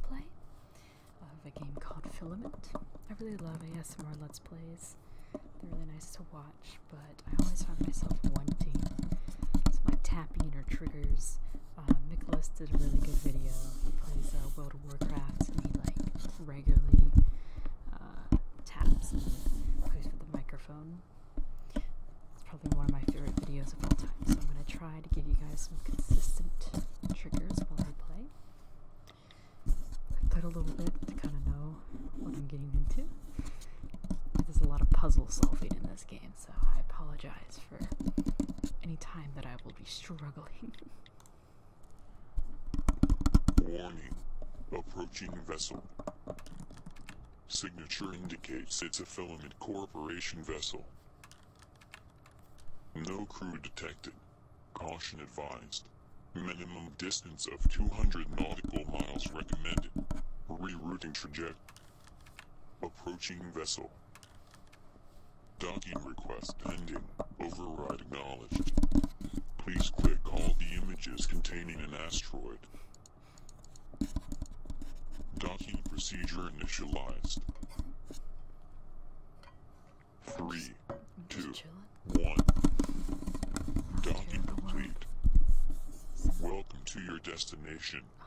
play of a game called Filament. I really love ASMR Let's Plays. They're really nice to watch, but I always find myself wanting some like tapping or triggers. Uh, Nicholas did a really good video. He plays uh, World of Warcraft and he like regularly uh, taps plays with the microphone. It's probably one of my favorite videos of all time, so I'm gonna try try to give you guys some consistent triggers while I play. I put a little bit to kind of know what I'm getting into. There's a lot of puzzle solving in this game, so I apologize for any time that I will be struggling. Warning. Approaching vessel. Signature indicates it's a Filament Corporation vessel. No crew detected. Caution advised. Minimum distance of 200 nautical miles recommended. Rerouting trajectory. Approaching vessel. Docking request pending. Override acknowledged. Please click all the images containing an asteroid. Docking procedure initialized. Three, two, one. Docking complete. Welcome to your destination. Oh,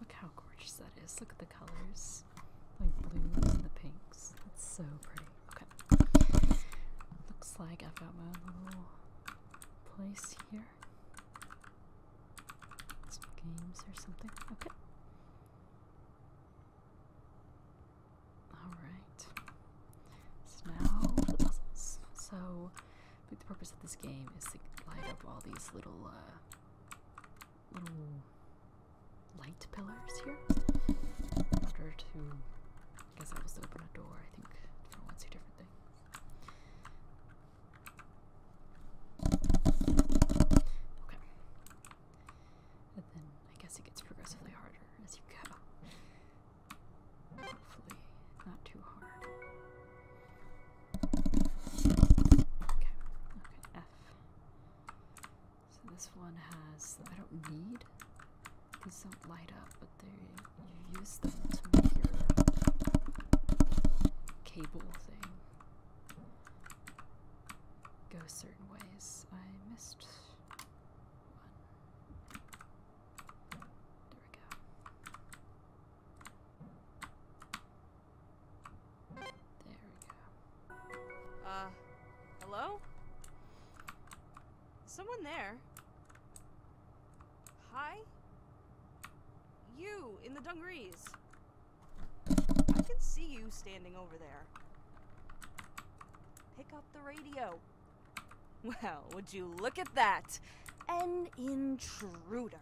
look how gorgeous that is. Look at the colors. Like blues and the pinks. That's so pretty. Okay. Looks like I've got my little place here. games or something. Okay. Alright. So the So the purpose of this game is to light up all these little uh, little light pillars here. In order to I guess I was to open a door, I think different ones do different things. Okay. And then I guess it gets progressively harder as you go. Hopefully, not too hard. Okay, F. So this one has, I don't need, these don't light up, but they, you use them to make your cable thing go certain ways. I missed one. There we go. There we go. Uh, hello? Someone there. Hi? You, in the dungarees. I can see you standing over there. Pick up the radio. Well, would you look at that? An intruder.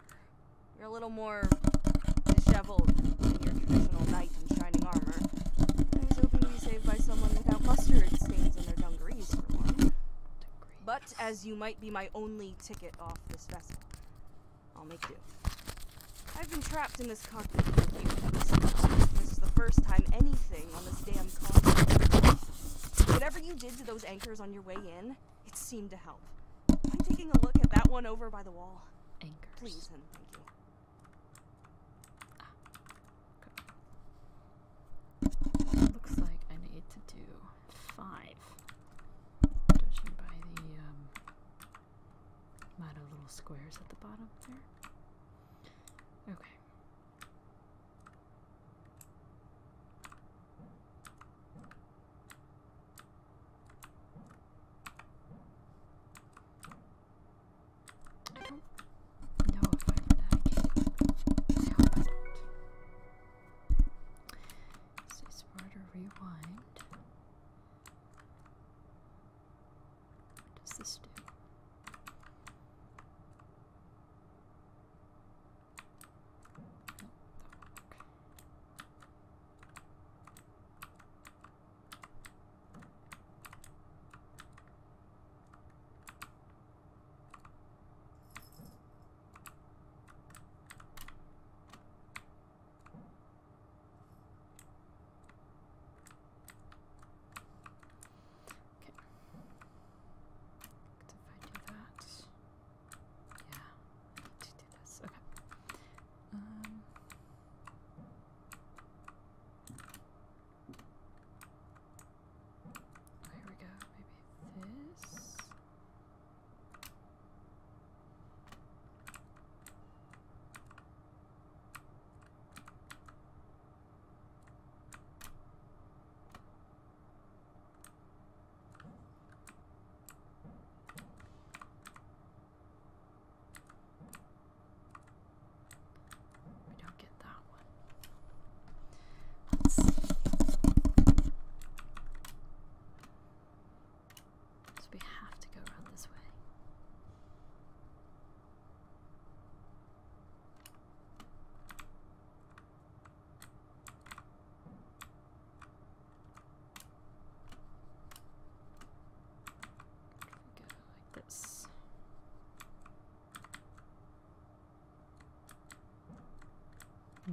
You're a little more disheveled than your traditional knight in shining armor. I was hoping to be saved by someone without mustard stains in their dungarees for one. But as you might be my only ticket off this vessel, I'll make do. I've been trapped in this cockpit for a This is the first time anything on this damn continent. Whatever you did to those anchors on your way in, it seemed to help. I'm taking a look at that one over by the wall. Anchors. Please and thank you. Ah, Looks like I need to do five. Judging by the um, amount of little squares at the bottom there. Okay. I don't know if I did that again. I hope This is harder rewind. What does this do? Okay. If I do that, yeah, to do this. Okay. Um. here we go. Maybe this. We don't get that one. Let's see. So we have to go around this way. We go like this. Hmm.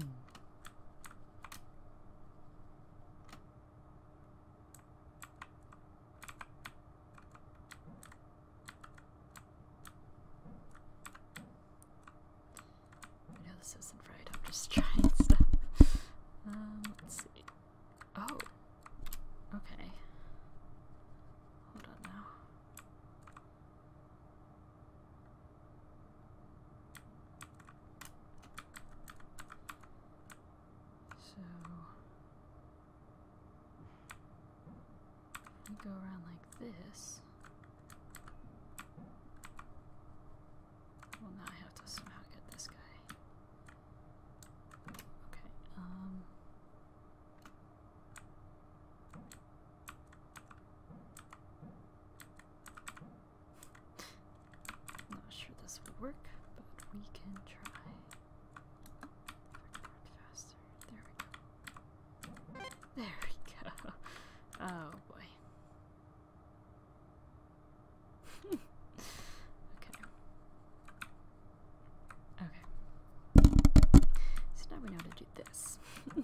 this isn't right, I'm just trying stuff. Um, let's see. Oh! Okay. Hold on now. So you go around like this. Well, now I have to somehow get this guy. Okay, um. I'm not sure this will work, but we can try. Faster. There we go. There we go. Oh boy. okay. Okay. So now we know how to do this.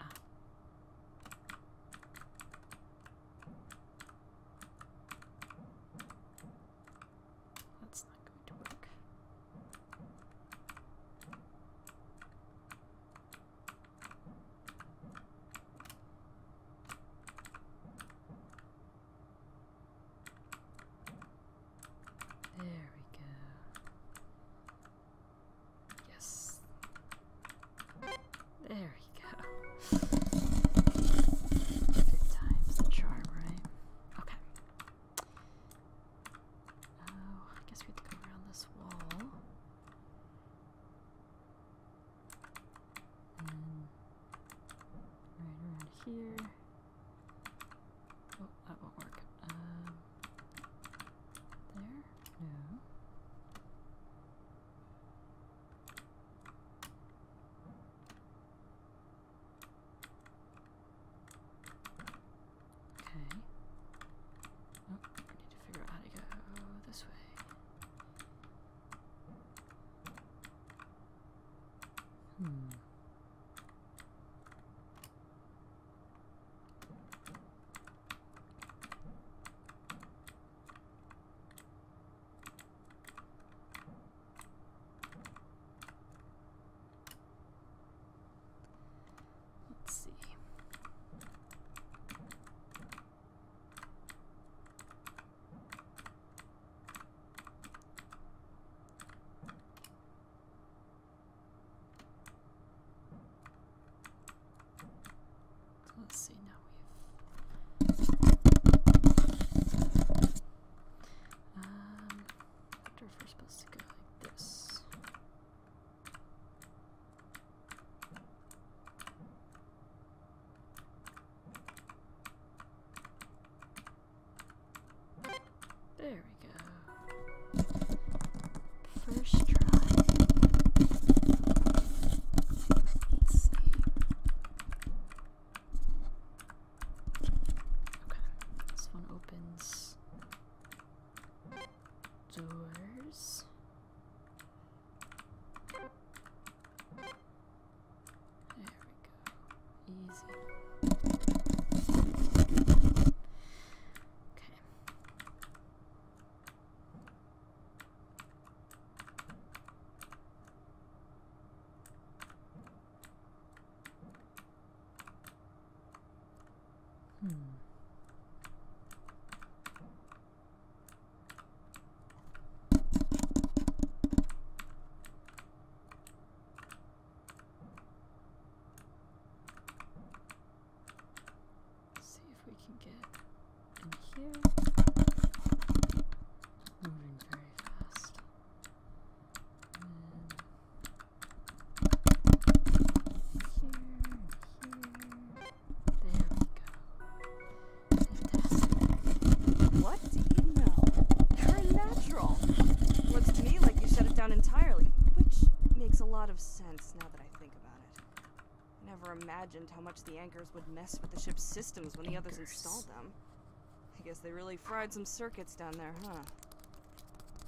Ah. That's not going to work. There we go. Yes. There we go. Fifth time's the charm, right? Okay. Oh, I guess we have to go around this wall. right around here. Oh, that won't work. Um, there? No. Okay. Oh, I need to figure out how to go this way. Hmm. Let's see let's see, now we've. Um, I supposed to go like this. There we go. First try. Let's see. Okay, this one opens doors. There we go. Easy. Okay. Hmm see if we can get in here. Moving very fast. here, here. There we go. What? What do you are natural. Looks to me like you shut it down entirely, which makes a lot of sense now that I think about it. I never imagined how much the anchors would mess with the ship's systems when the others installed them. I guess they really fried some circuits down there, huh?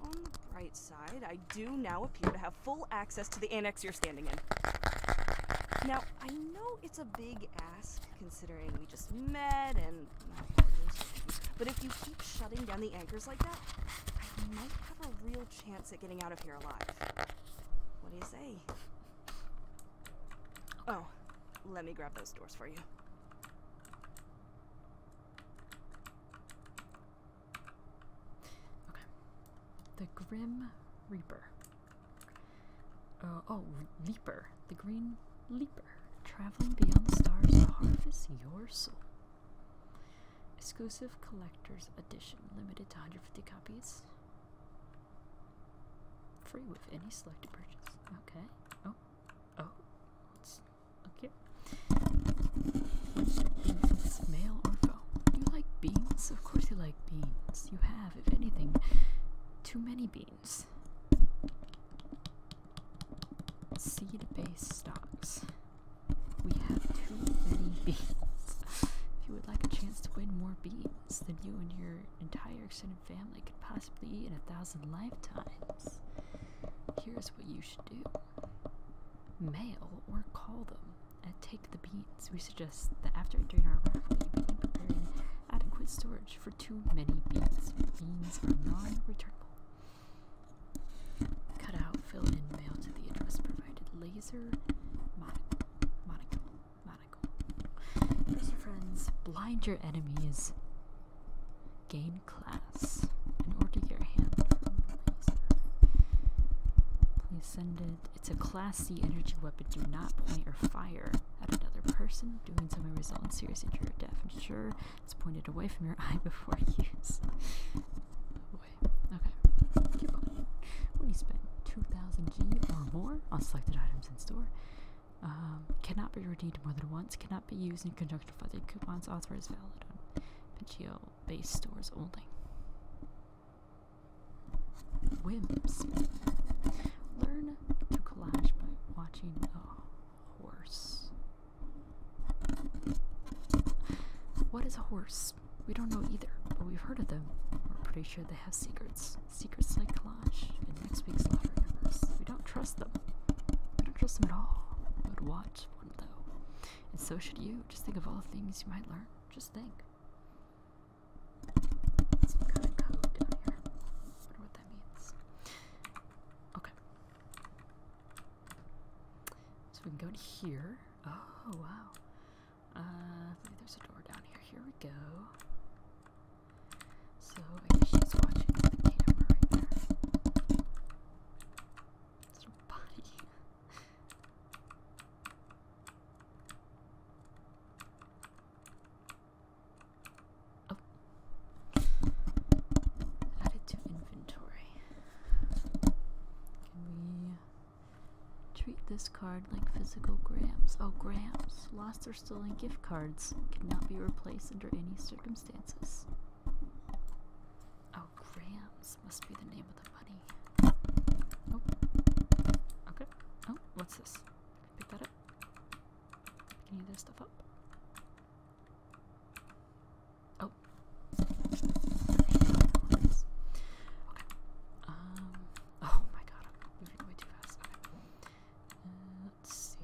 On the bright side, I do now appear to have full access to the annex you're standing in. Now, I know it's a big ask, considering we just met and. But if you keep shutting down the anchors like that, I might have a real chance at getting out of here alive. What do you say? Oh, let me grab those doors for you. Okay. The Grim Reaper. Uh, oh, Reaper the Green Leaper, traveling beyond the stars to harvest your soul. Exclusive collector's edition, limited to 150 copies. Free with any selected purchase. Okay. Oh, oh, it's okay. Beans, male you like beans? Of course you like beans. You have, if anything, too many beans machines. Seed-based stocks. We have too many beans. if you would like a chance to win more beans than you and your entire extended family could possibly eat in a thousand lifetimes, here's what you should do. Mail or call them and take the beans. We suggest that after entering our raffle, you begin preparing adequate storage much for too many beans. Beans are non-returnable. Cut out, fill in, mail to the address provided. Laser monocle. Monocle. Monocle. Lose your friends. Blind your enemies. Gain class. In order to get your hand from laser. Please send it. It's a class C energy weapon. Do not point or fire at another person Doing so may result in serious injury or death. sure it's pointed away from your eye before use. Oh spend 2,000 G or more on selected items in store, um, cannot be redeemed more than once. Cannot be used in conjunction with other coupons. Offer is valid on Pangeo-based stores only. Whims. Learn to collage by watching. Oh, horse. What is a horse? We don't know either, but we've heard of them. We're pretty sure they have secrets. Secrets like Kalash in next week's Lottery Universe. We don't trust them. We don't trust them at all. But would watch though. And so should you. Just think of all the things you might learn. Just think. Okay. So we can go to here. Oh, wow. Uh, there's a door down here. Here we go. So she's watching the camera right there. It's her body. Oh. Added to inventory. Can we treat this card like physical grams? Oh, grams. Lost or stolen gift cards cannot be replaced under any circumstances. Oh, grams must be the name of the money. Oh. Okay. Oh, what's this? Pick that up. Pick any of this stuff up. Oh. Okay. Um. Oh my god, I'm moving way too fast. Uh, let's see.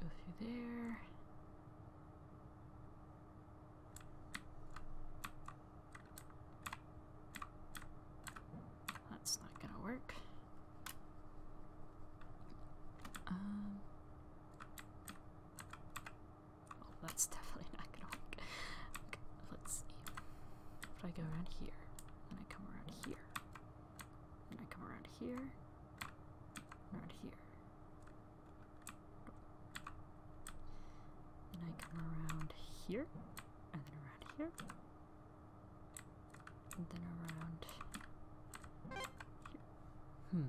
Go through there. That's not gonna work. Um, well, oh, that's definitely not gonna work. let's see. If I go around here, then I come around here, then I come around here, around here, then I come around here, and then around here, and then around Hmm.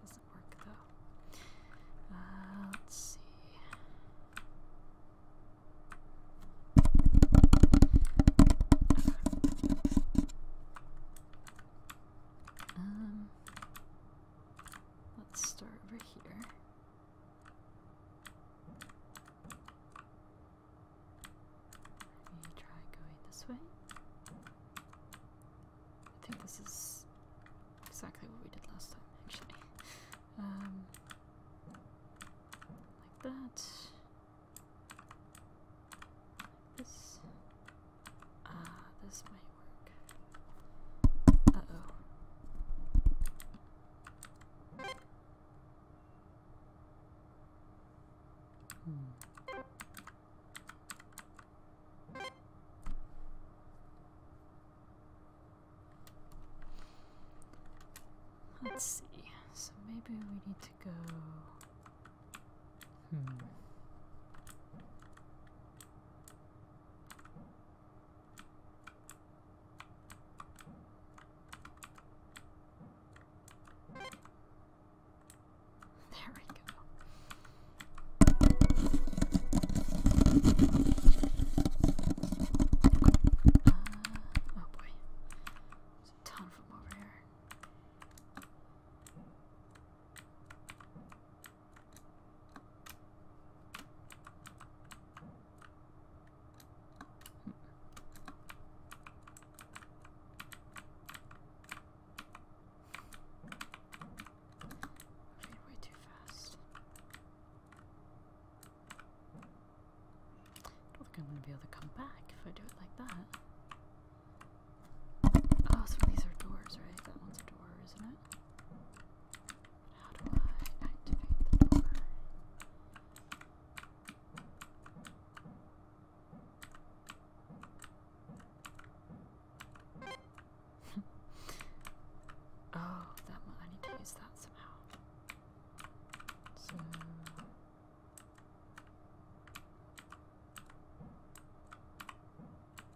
Doesn't work though. Uh, let's see. Um, let's start over here. Maybe try going this way. I think this is exactly what we did last time, actually. Um, like that. Like this. Ah, this might work. Let's see. So maybe we need to go. Hmm. There we go. Uh, oh boy. There's a ton of over here way too fast. don't think I'm going to be able to come back if I do it like that. Oh, so these are doors, right? That one's a door, isn't it? How do I activate the door? oh, that one. I need to use that somehow. So.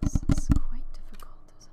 This is quite difficult, isn't it?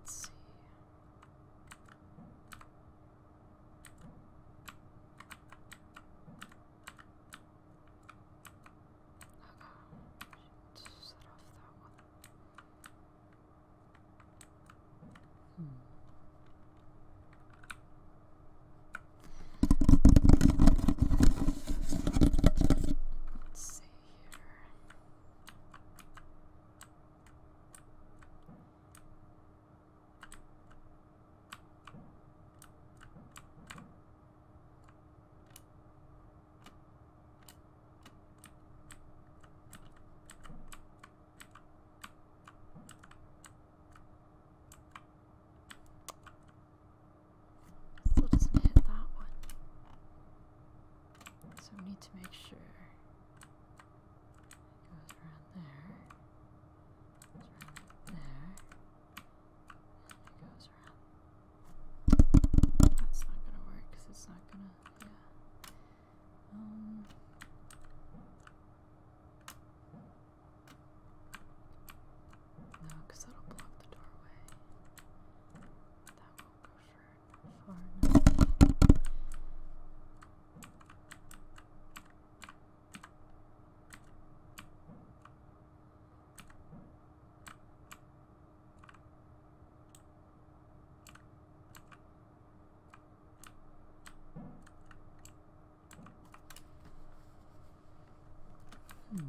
Let's see. Uh oh, set off that one. Hmm. Let's see here. Still doesn't hit that one. So we need to make sure it goes around there. Goes around there. goes around. That's not gonna work because it's not gonna um, no, because that'll block the doorway. That won't go far enough. Hmm.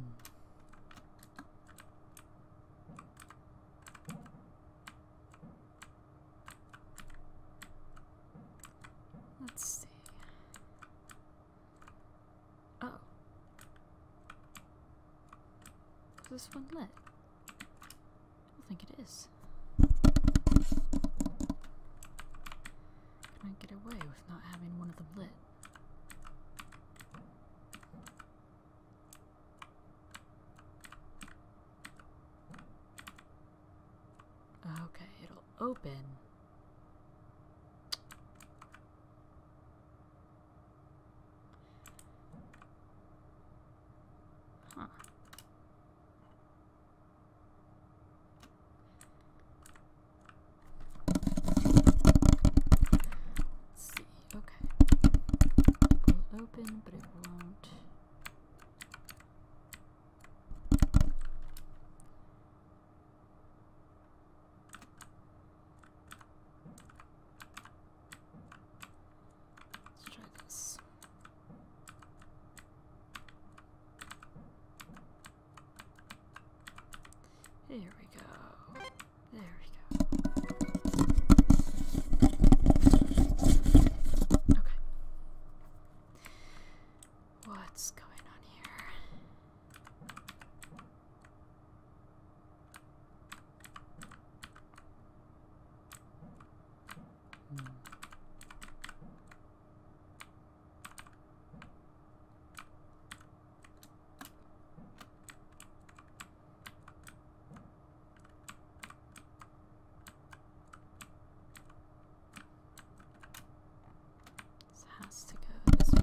Let's see. Oh. this one lit? I think it is. Can I get away with not having one of them lit? Okay, it'll open. Huh. Let's see. Okay. will open, but it won't. Let's try this. Here we go. There we go. Okay. What's going on here? This has to go this way.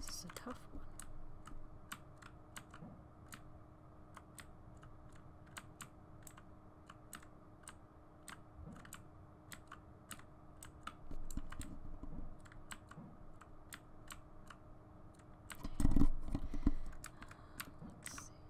This is a tough one. let's see.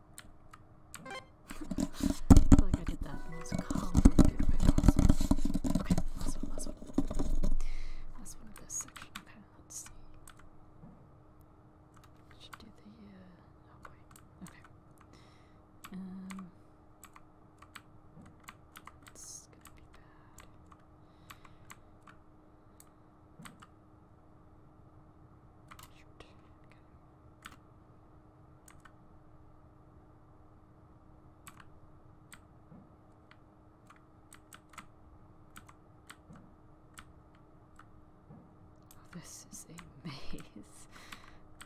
I feel like I did that in the most convoluted way possible. Okay, last one, last one. Last one of this section. Okay, let's see. Should do the, uh, oh boy. Okay. Um, it's gonna be bad. Shoot. Okay. Oh, this is a maze.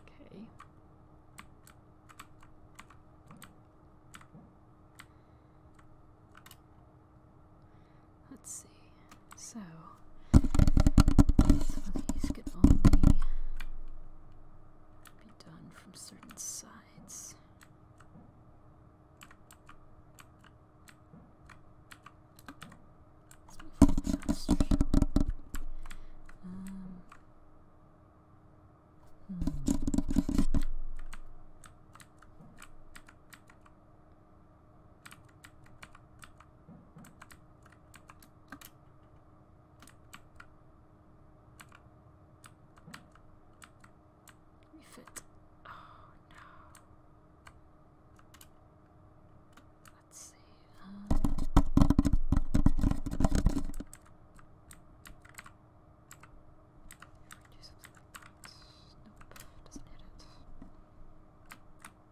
okay. Let's see. So, these could only be done from certain sides. Um, hmm. Refit. Oh no. Let's see. Um. Nope, doesn't hit it.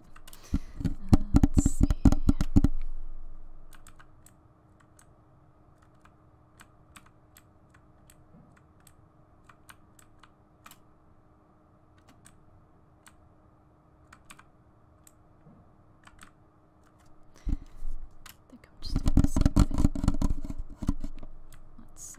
let's see. I think I'm just doing the Let's see.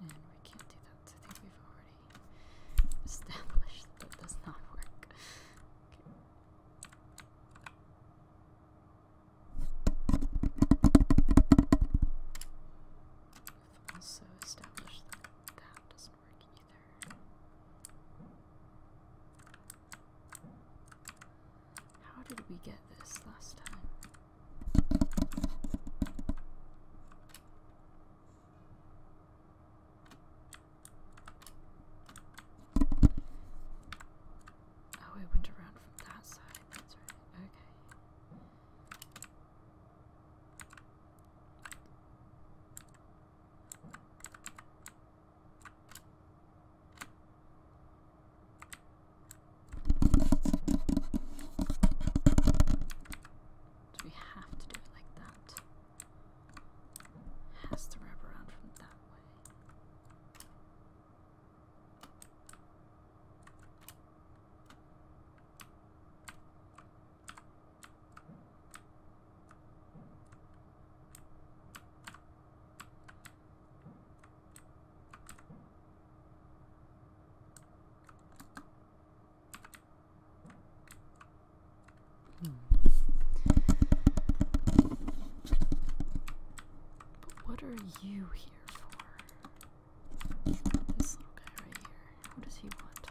And we can't do that. I think we've already established that does not work. We've also established that that doesn't work how did we get this last time? Oh, it went around from that side. That's right. Okay we have to do it like that. has to wrap around from that way what are you here for? This little guy right here. What does he want?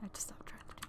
I just to stop trying to do that.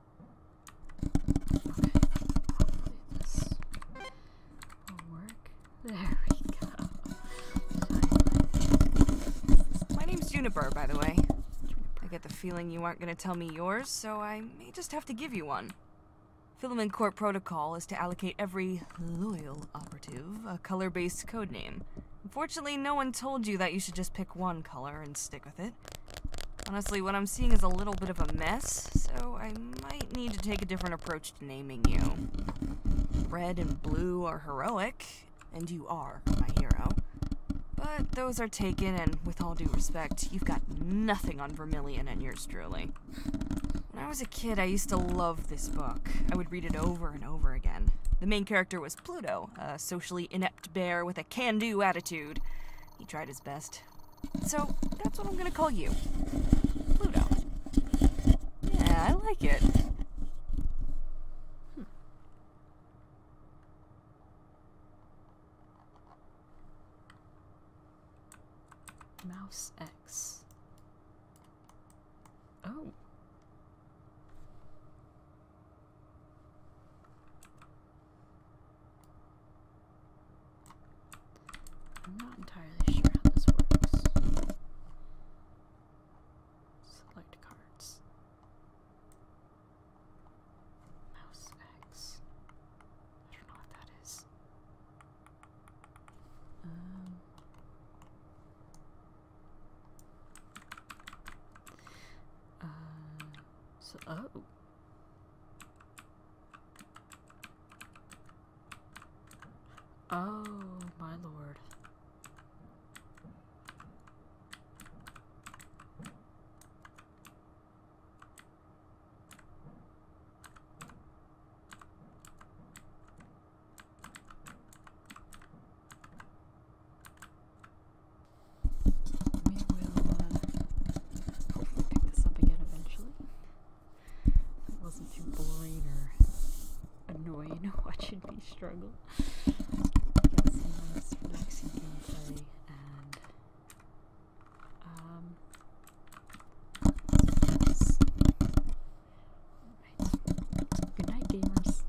There we go. My name's Juniper, by the way. I get the feeling you aren't going to tell me yours, so I may just have to give you one. Filament Court protocol is to allocate every loyal operative a color-based code name. Unfortunately, no one told you that you should just pick one color and stick with it. Honestly, what I'm seeing is a little bit of a mess, so I might need to take a different approach to naming you. Red and blue are heroic, and you are my hero. But those are taken, and with all due respect, you've got nothing on Vermillion and yours truly. When I was a kid, I used to love this book. I would read it over and over again. The main character was Pluto, a socially inept bear with a can do attitude. He tried his best, so that's what I'm gonna call you. Pluto. Yeah, I like it. Hmm. Mouse X. Oh. I'm not entirely sure how this works. Select cards. Mouse X. I don't know what that is. Um. Uh, so, oh, Oh, my lord we will hopefully pick this up again eventually. It wasn't too boring or annoying watching me struggle. Good night gamers.